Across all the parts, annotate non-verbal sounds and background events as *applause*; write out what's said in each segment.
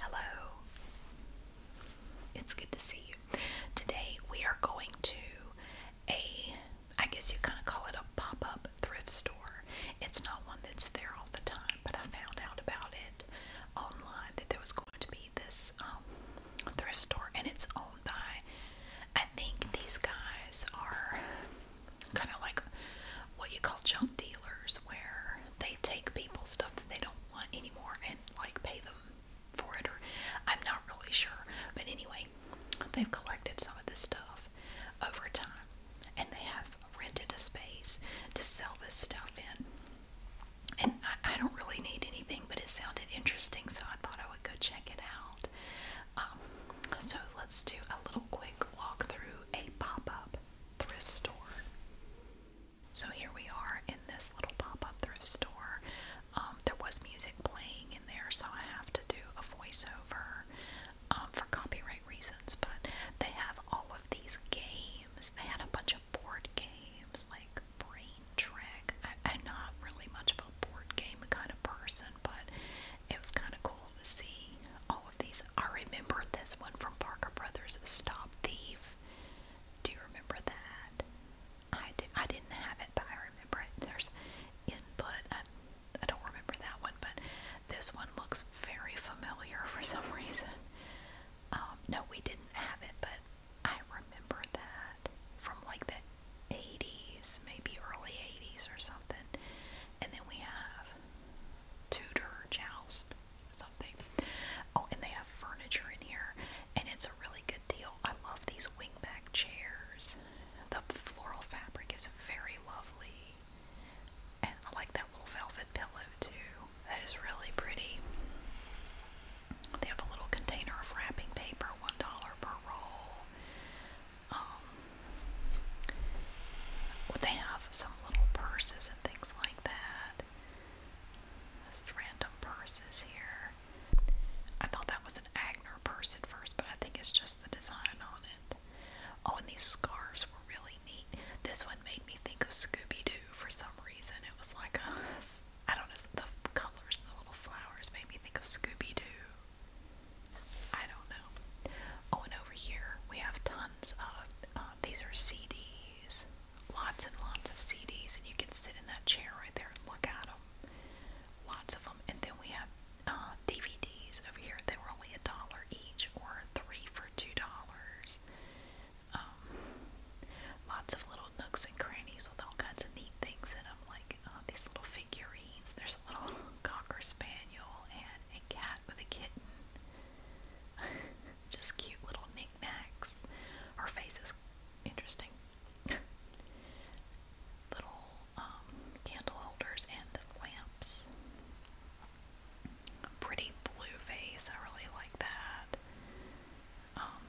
Hello. It's good to see you. Today we are going to a, I guess you kind of call it a pop up thrift store. It's not one that's there all the time, but I found out about it online that there was going to be this um, thrift store, and it's owned by, I think these guys are kind of like what you call junk dealers, where they they take people's stuff that they don't want anymore and like pay them for it or I'm not really sure. But anyway, they've collected some of this stuff over time and they have rented a space to sell this stuff in. And I, I don't really need anything, but it sounded interesting, so I thought I would go check it out. Um, so let's do a little quick walk through a pop up thrift store. So here we are in this little pop up thrift store. Um, there was music playing in there, so I have to do a voiceover um, for copyright reasons. But they have all of these games. They had a bunch of board games like Brain Trick. I'm not really much of a board game kind of person, but it was kind of cool to see all of these I remember this one from Parker Brothers, Stop Thief. Do you remember that? I, do, I didn't have it, but I remember it. There's input. I, I don't remember that one, but this one looks very familiar *laughs* for some reason. Um, no, we didn't have it, but I remember that from like the 80s, maybe early 80s or something. And then we have Tudor Joust something. Oh, and they have furniture in here, and it's a really good deal. I love these wingback chairs. The floral fabric is very lovely, and I like that little velvet pillow too. That is really pretty. They have a little container of wrapping paper, one dollar per roll. Um, they have some little purses and things that. Just random purses here. I thought that was an Agner purse at first, but I think it's just the design on it. Oh, and these scarves were really neat. This one made me think of Scooby Doo for some reason. It was like a, I don't know, the colors the little flowers made me think of Scooby Doo. I don't know. Oh, and over here we have tons of um, um, these are CDs, lots and lots of CDs, and you can sit in that chair right there and look at them. Lots of them. And then we have uh, DVDs over here. They were only a dollar each, or three for two dollars. Um, lots of little nooks and crannies with all kinds of neat things in them, like uh, these little figurines. There's a little *laughs* cocker spaniel and a cat with a kitten. *laughs* Just cute little knickknacks. Her face is interesting. *laughs* little um, candle holders and lamps. Pretty blue vase. I really like that. Um,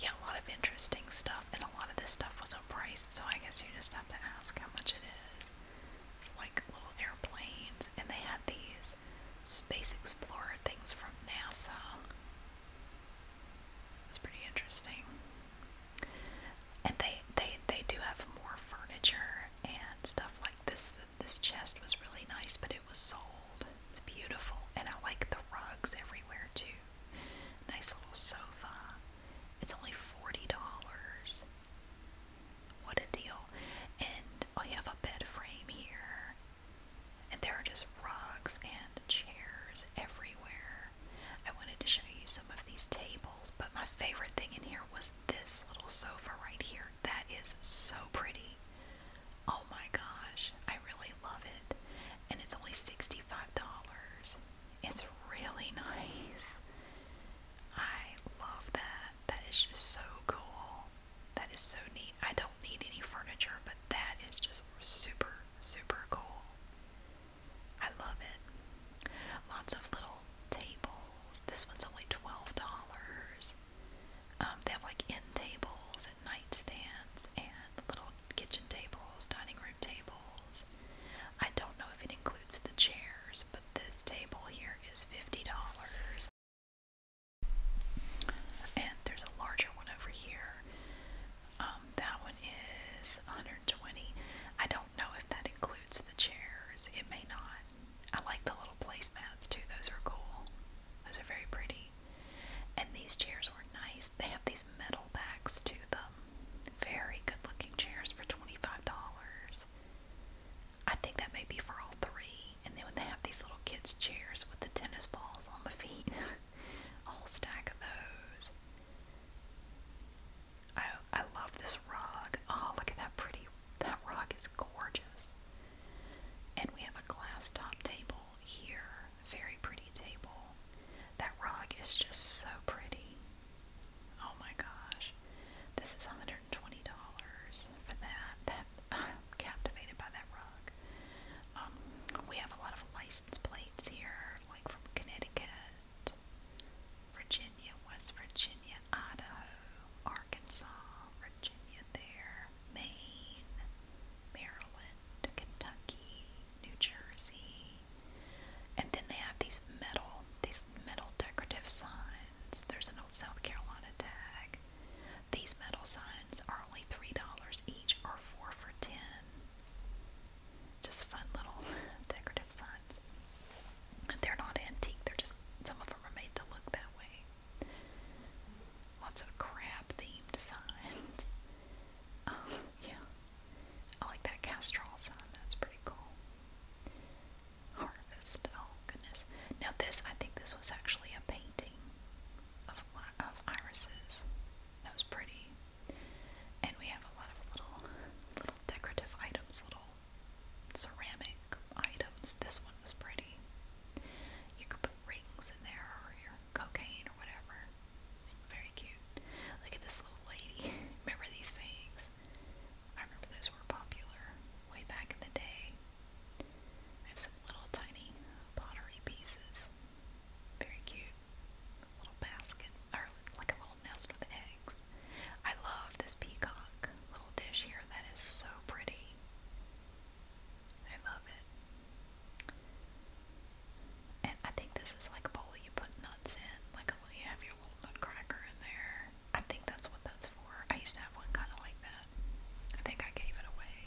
yeah, a lot of interesting stuff, and a lot of this stuff wasn't priced, so I guess you just have to ask how much it is like little airplanes, and they had these Space Explorer things from NASA. It's pretty interesting. And they they they do have more furniture and stuff like this. This chest was really nice, but it was sold. It's beautiful, and I like the rugs everywhere too. Nice little sofa. It's only forty dollars. What a deal. And oh, have a bed frame here. And there are just rugs and chairs everywhere. I wanted to show you some of these tables, but my favorite thing in here was this little sofa right here. That is so pretty. Oh my gosh, I really love it. And it's only $65. It's really *laughs* nice. I love that. That is just so cool. That is so neat. I don't need any furniture, but that is just super, super cool. I love it. Lots of little tables. This one's only $12. Um, they have like end tables and nightstands and little kitchen tables, dining room tables. I don't know if it includes the chairs, but this table here is $50. And there's a larger one over here. Um, that one is 120. I don't know if that includes the chairs. It may not. I like the little placemats too. Those are cool. Those are very pretty. And these chairs are nice. They have these metal backs to them. Very good looking chairs for $25. I think that may be for all three. And then when they have these little kids' chairs with the tennis balls on the feet, a *laughs* stack of those. I I love this rug. Oh, look at that pretty. That rug is gorgeous. And we have a glass top table here. Very pretty table. That rug is just so pretty. Oh my gosh. This is $120 for that. That *laughs* I'm captivated by that rug. Um, we have a lot of license plates here, like from Connecticut, Virginia, West Virginia, Idaho, Arkansas, Virginia there, Maine, Maryland, Kentucky, New Jersey, and then they have these metal, these metal decorative signs. There's an old South Carolina tag. These metal signs are only $3 each or 4 for 10. Just fun little *laughs* decorative signs. They're not antique, they're just some of them are made to look that way. Lots of crab themed signs. *laughs* Oh, yeah. I like that Castrol sign, that's pretty cool. Harvest. Oh goodness. Now this, I think this was actually a painting of of irises. That was pretty. And we have a lot of little little decorative items, little ceramic items. This one was pretty. You could put rings in there or your cocaine or whatever. It's very cute. Look at this little lady. *laughs* Remember these things? I remember those were popular way back in the day. I have some little tiny pottery pieces. Very cute. Little basket, or like a little nest with eggs. I love this peacock little dish here. That is so pretty. I love it. And I think this is like a bowl you put nuts in, like luckily have your little nutcracker in there. I think that's what that's for. I used to have one kind of like that. I think I gave it away.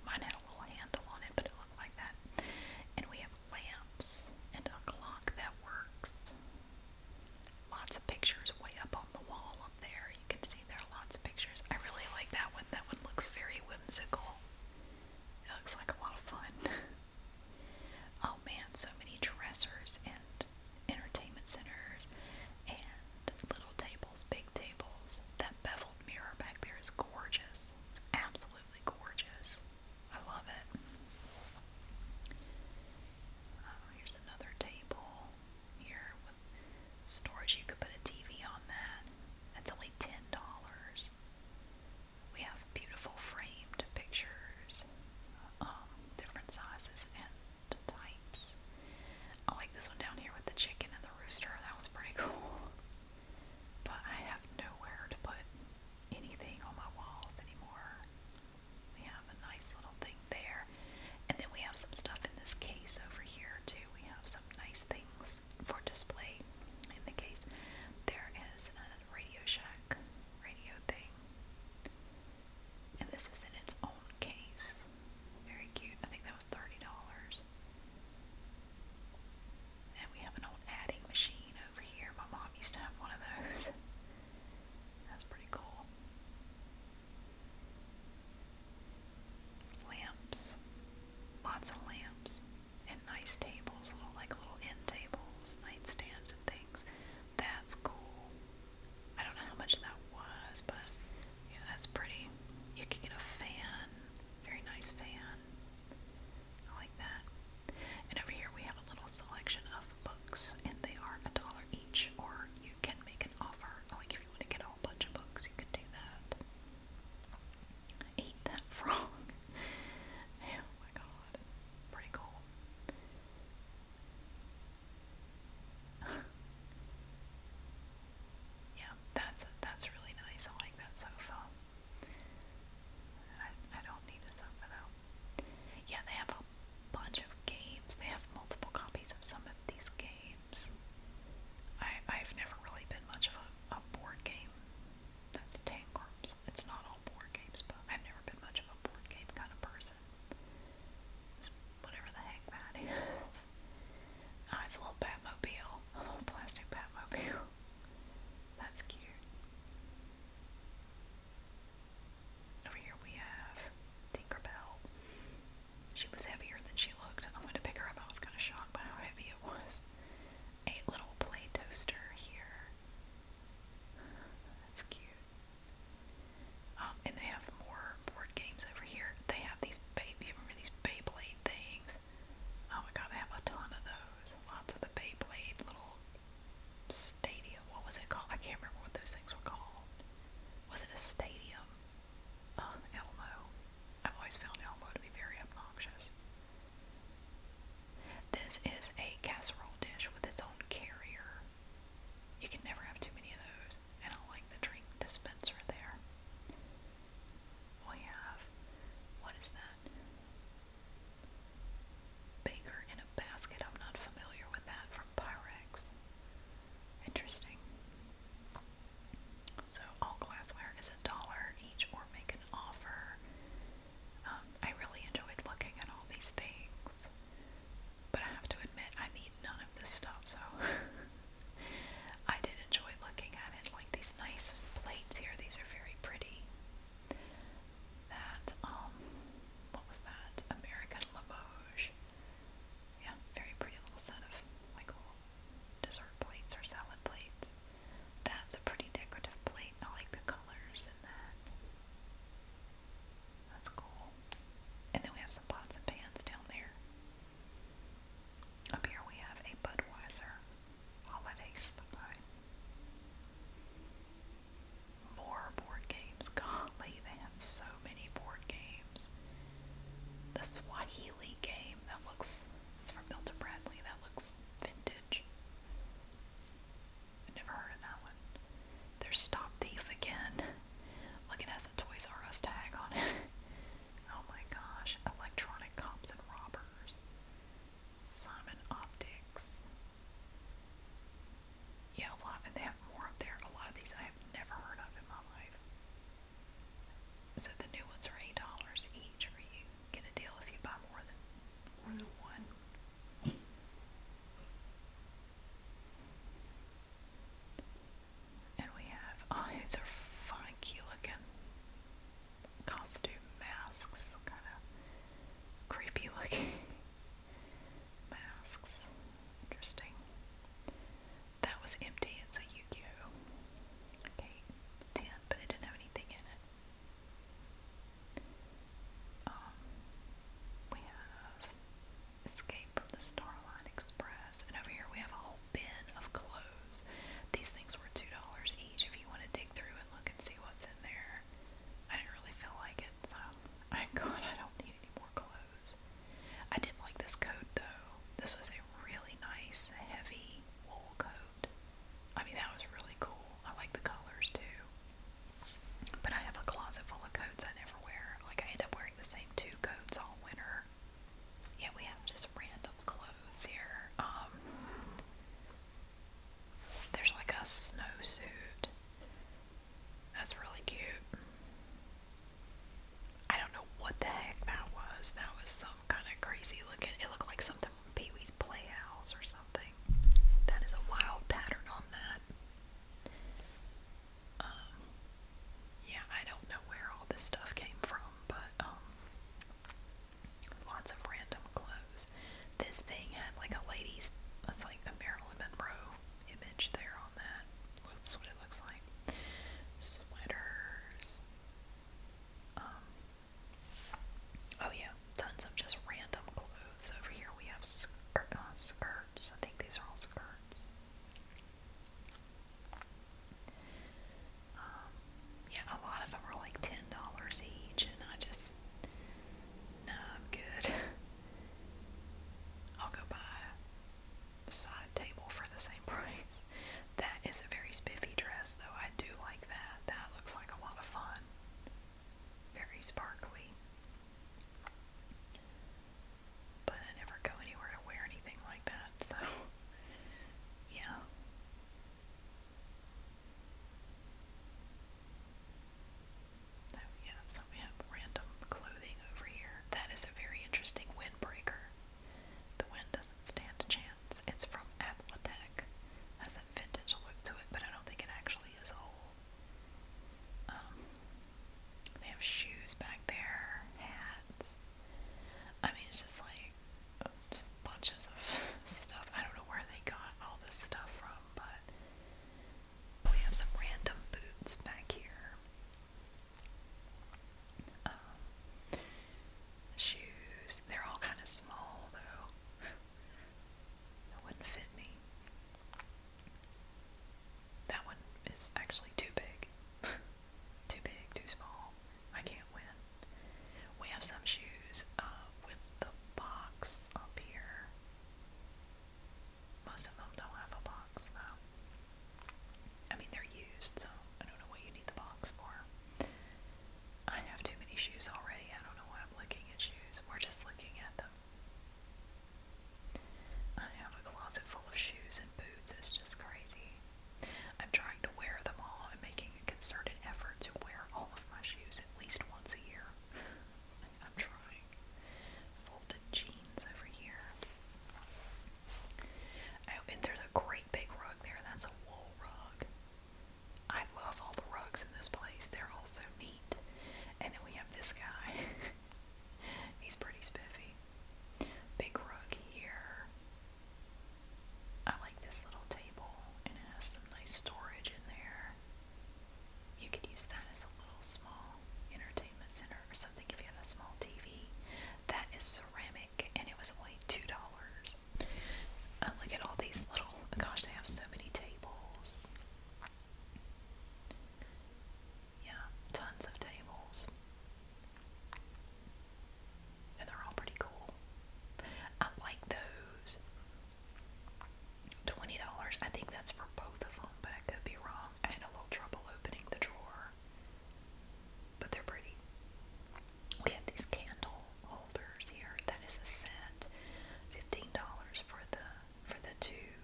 Mine had a little handle on it, but it looked like that. And we have lamps and a clock that works. Lots of pictures way up on the wall up there. You can see there are lots of pictures. I really like that one. That one looks very whimsical. It looks like a lot of fun. *laughs* Oh man, so many dressers and entertainment centers and little tables, big tables. That beveled mirror back there is gorgeous. It's absolutely gorgeous. I love it. Oh, here's another table here with storage. You could put a TV on that. That's only ten dollars we have beautiful framed pictures, um, different sizes and types. I like this one down here with the chicken and the rooster. That one's pretty *laughs* cool. But I have nowhere to put anything on my walls anymore. We have a nice little thing there. And then we have some stuff in this case over here, too. We have some nice things for display in the case. There is a Radio Shack radio thing. And this is in its own case. Very cute. I think that was $30. And we have an old adding machine over here. My mom used to have one of those. *laughs* That's pretty cool. Lamps. Lots of lamps and nice tables, little like little end tables, nightstands and things. That's cool. I don't know how much that was, but yeah, that's pretty. You can get a fan, very nice fan. I like that. And over here we have a little selection of books, and they are a dollar each, or you can make an offer. Like if you want to get a whole bunch of books, you could do that. Eat that *laughs* frog. *laughs* oh my god. Pretty cool. *laughs* yeah, that's that's really nice. I like that sofa. I I don't need a sofa though. Yeah, they have a bunch of games. They have multiple copies of some of these games. I I've never really been much of a, board game that's Tangrams. It's not all board games, but I've never been much of a board game kind of person. whatever the heck that is. Oh, it's a little Batmobile. A little plastic Batmobile. That's cute. Over here we have Tinkerbell. She was heavier than she looked. I went to pick her up. I was kind of shocked by how heavy it was a little play toaster here. That's cute. Um, and they have more board games over here. They have these baby, remember these Beyblade things? Oh my god, they have a ton of those. Lots of the Beyblade little stadium. What was it called? I can't remember what those things were called. Was it a stadium? Elmo. I've always found Elmo to be very obnoxious. This is a casserole dish with its own carrier. You can never have too many of those, and I like the drink dispenser there. We have, what is that? Baker in a basket. I'm not familiar with that from Pyrex. Interesting. So all glassware is a dollar each or make an offer. Um, I really enjoyed looking at all these things, but I have to admit I need none of this stuff, so *laughs* I did enjoy looking at it. Like these nice plates here, these are very pretty. That, um, what was that? American Limoges. Yeah, very pretty little set of like little dessert plates or salad plates. That's a pretty decorative plate. I like the colors in that. That's cool. And then we have some pots and pans down there. Up here we have a Budweiser holiday slide. More board games. Golly, they have so many board games. The Swahili game that looks it's from Milton Bradley. That looks vintage. I never heard of that one. There's Stop Thief again. Look, it has a Toys R Us tag on it. *laughs* oh my gosh. Electronic Cops and Robbers. Simon Optics. Yeah, a lot, and they have more up there. A lot of these I have never heard of in my life. So the new ones are $8 each for you get a deal if you buy more than more than one. And we have oh are funky looking costume masks, kinda creepy looking *laughs* masks. Interesting. That was empty, it's a Yu-Gi-Oh! Okay, 10, but it didn't have anything in it. Um, we have Escape from the Starlight Express, and over here we have a whole bin of clothes. These things were two dollars each. If you want to dig through and look and see what's in there, I didn't really feel like it, so *laughs* I God, I don't need any more clothes. I did like this coat though. This was a really nice, heavy wool coat out. I mean, that was really cool. I like the colors too. But I have a closet full of coats I never wear. Like, I end up wearing the same two coats all winter. Yeah, we have just random clothes here. Um, there's like a snowsuit. That's really cute. I don't know what the heck that was. That was some kind of crazy looking. It looked like something the Pee Wee's Playhouse or something. That is a wild pattern on that. Um, yeah, I don't know where all this stuff came from, but um, lots of random clothes. This thing had like a lady's, That's like a Marilyn Monroe image there on that. That's what it looks like. Sweaters. Um, Oh yeah, tons of just random clothes. Over here we have skir uh, skirts. I think these are all skirts. Um, yeah, a lot of them are like $10 each, and I just, no, I'm good. *laughs* I'll go buy a side table for the same *laughs* price. That is a very spiffy dress, though. I do that. looks like a lot of fun. Very sparkly. But I never go anywhere to wear anything like that, *laughs* so yeah. Oh, yeah, so we have random clothing over here. That is a very interesting windbreaker. The wind doesn't stand a chance plants. It's from Athletec. Has a vintage look to it, but I don't think it actually is old. Um, they have shoes back there, hats. I mean, it's just like just bunches of *laughs* stuff. I don't know where they got all this stuff from, but we have some random boots back here. Um, shoes. They're all kind of small though. that wouldn't fit me. That one is actually too big. *laughs* too big, too small. I can't win. We have some shoes uh, with the box up here. Most of them don't have a box though. I mean, they're used, so I don't know what you need the box for. I have too many shoes already. I don't know why I'm looking at shoes. We're just looking at them. I have a closet full of shoes and boots. It's just crazy. I'm trying to wear them all. I'm making a concerted effort to wear all of my shoes at least once a year. I'm trying. Folded jeans over here. I oh, opened there's a great big rug there. That's a wool rug. I love all the rugs in this place. They're all so neat. And then we have this guy. *laughs* He's pretty spiffy. Big rug here. I like this little table and it has some nice storage in there. You could use that as a little small entertainment center or something if you have a small TV. That is ceramic and it was only $2. Oh, look at all these little, gosh, they have so many tables. Yeah, tons of tables. And they're all pretty cool. I like those. $20. I think that's for both of them, but I could be wrong. I had a little trouble opening the drawer. But they're pretty we have these candle holders here. That is a set, fifteen dollars for the for the two.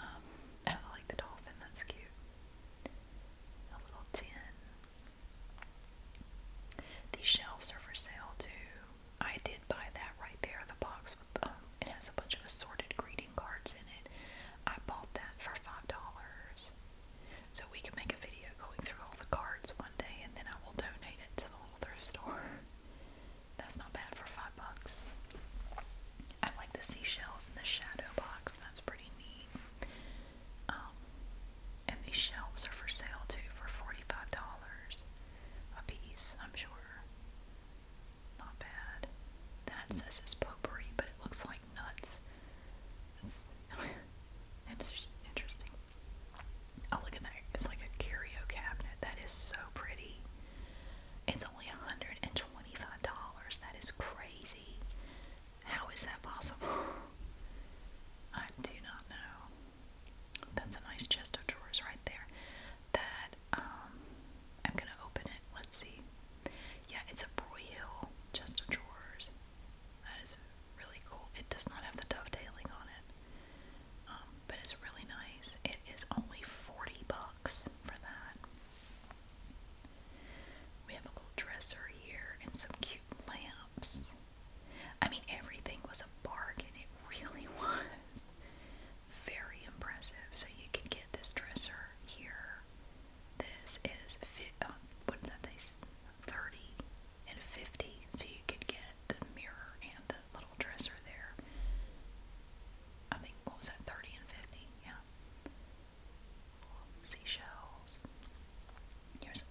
Um, I like the dolphin. That's cute. A little tin. These shelves are for sale too. I did buy that right there. The box with um, it has a bunch of assorted greeting cards in it. I bought that for five dollars. So we can make a video going through all the cards one day and then I will donate it to the little thrift store. *laughs* That's not bad for five bucks. I like the seashells in the shadow box. That's pretty neat. Um, and these shelves are for sale too for forty-five dollars a piece. I'm sure. Not bad. That says it's potpourri, but it looks like nuts. That's *laughs* interesting. Oh, look at that. It's like a curio cabinet. That is so pretty. It's only $125. That is crazy. How is that possible? *laughs* I do not know. That's a nice chest of drawers right there. That, um, I'm gonna open it. Let's see. Yeah, it's a Broyhill chest of drawers. That is really cool. It does not have the dovetailing on it, um, but it's really nice. It is only 40 bucks for that. We have a little dresser here and some cute lamps. I mean, everything was a bargain. It *laughs* really was. Very impressive. So you can get this dresser here. This is fit. Uh, that say? 30 and 50 so you could get the mirror and the little dresser there. I think, what was that, 30 and 50? Yeah. Seashells. Here's,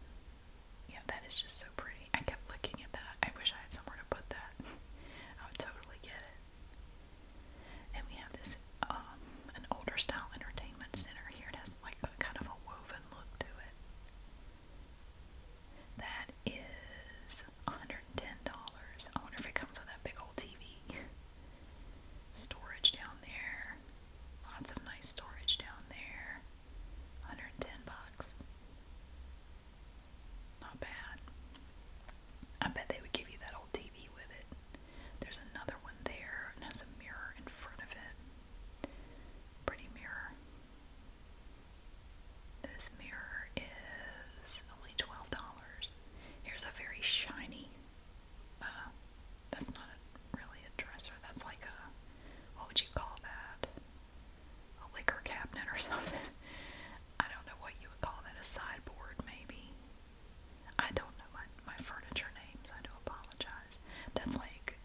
yeah, that is just so pretty. I kept looking at that. I wish I had somewhere to put that. *laughs* I would totally get it. And we have this, um, an older style entertainment center here. It has like kind of a woven look to it. That is $110. I wonder if it comes with that big old TV. Storage down there. Lots of nice storage down there. 110 bucks. Not bad. I bet they would give you that old TV with it. There's another one there and has a mirror in front of it. Pretty mirror. This mirror is only twelve dollars. Here's a very shiny. Uh, that's not really a dresser. That's like a what would you call that? A liquor cabinet or *laughs* something. I don't know what you would call that. A sideboard maybe. I don't know my furniture names. I do apologize. That's like,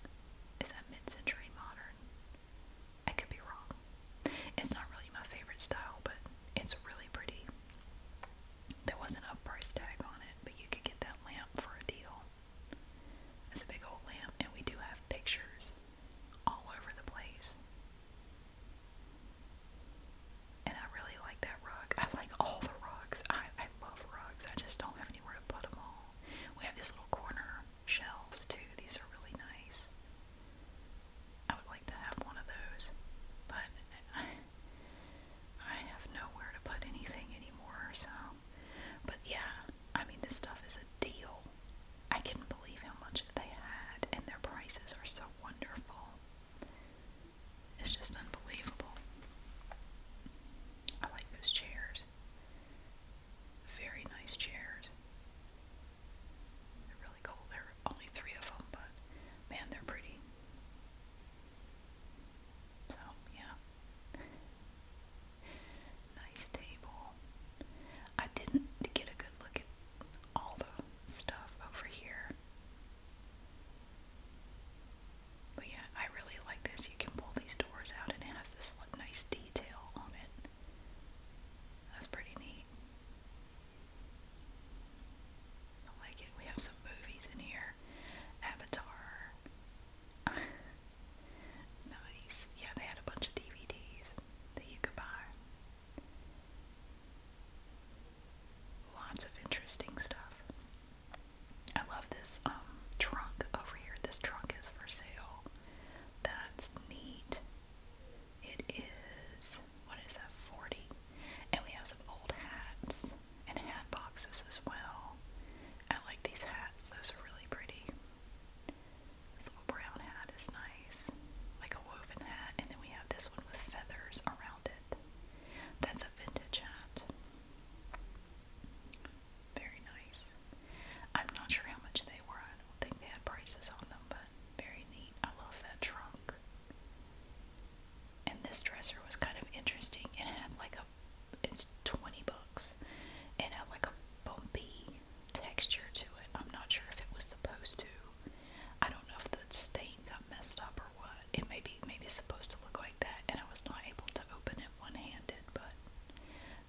is that mid-century modern? I could be wrong. It's not really my favorite style, but it's really pretty. There wasn't a price tag on it, but you could get that lamp for a deal. It's a big old lamp, and we do have pictures all over the place. And I really like that rug. I like all the rugs. I, I love rugs. I just don't have anywhere to put them all. We have these little corner shelves too. These are really nice. I would like to have one of those, but I, *laughs* I have nowhere to put anything anymore. So, but yeah, I mean this stuff is a deal. I couldn't believe how much they had, and their prices are so wonderful. It's just unbelievable. I like those chairs. Very nice chairs. They're really cool. There are only three of them, but man, they're pretty. So, yeah. nice table. I didn't get a good look at all the stuff over here. But yeah, I really like this. You can pull these doors out and it has this like, nice detail on it. That's pretty neat. I like it. We have some movies in here. Avatar. *laughs* nice. Yeah, they had a bunch of DVDs that you could buy. Lots of interesting stuff. I love this um, trunk over here. This trunk is for sale. That's neat. It is what is that? Forty. And we have some old hats and hat boxes as well. I like these hats. Those are really pretty. This little brown hat is nice, like a woven hat. And then we have this one with feathers around it. That's a vintage hat. Very nice. I'm not sure how much they were. I don't think they had prices on them, but very neat. I love that trunk. And this dresser was kind of interesting. It had like a, it's 20 bucks. It had like a bumpy texture to it. I'm not sure if it was supposed to. I don't know if the stain got messed up it may be maybe supposed to look like that, and I was not able to open it one-handed. But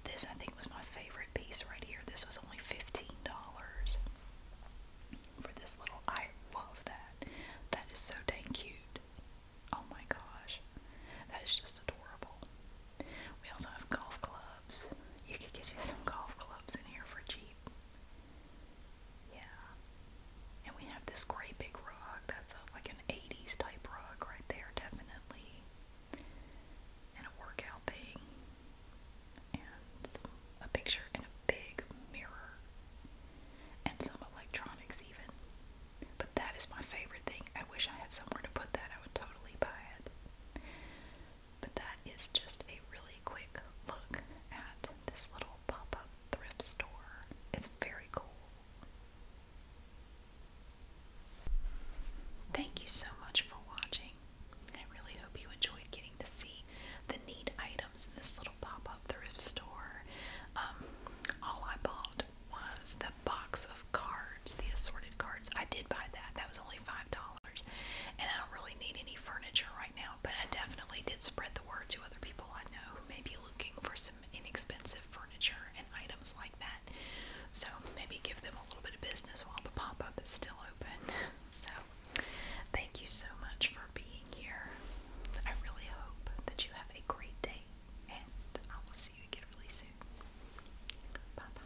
this, I think, was my favorite piece right here. This was only fifteen dollars for this little. I love that. That is so dang cute. Oh my gosh, that is just adorable. We also have golf clubs. You could get you some golf clubs in here for cheap. Yeah, and we have this great big rug. That's like an 80s type rug right there, definitely. And a workout thing. And a picture and a big mirror. And some electronics, even. But that is my favorite thing. I wish I had somewhere to put that. I would totally buy it. But that is just a really quick look at this little pop up thrift store. It's very cool. Thank you so much for watching. I really hope you enjoyed getting to see the neat items in this little pop up thrift store. Um, all I bought was the box of cards, the assorted cards. I did buy that, that was only $5. And I don't really need any furniture right now, but I definitely did spread the word to other people I know who may be looking for some inexpensive furniture and items like that. So maybe give them a little bit of business while the pop up is still open. *laughs* So thank you so much for being here. I really hope that you have a great day, and I will see you again really soon. Bye bye.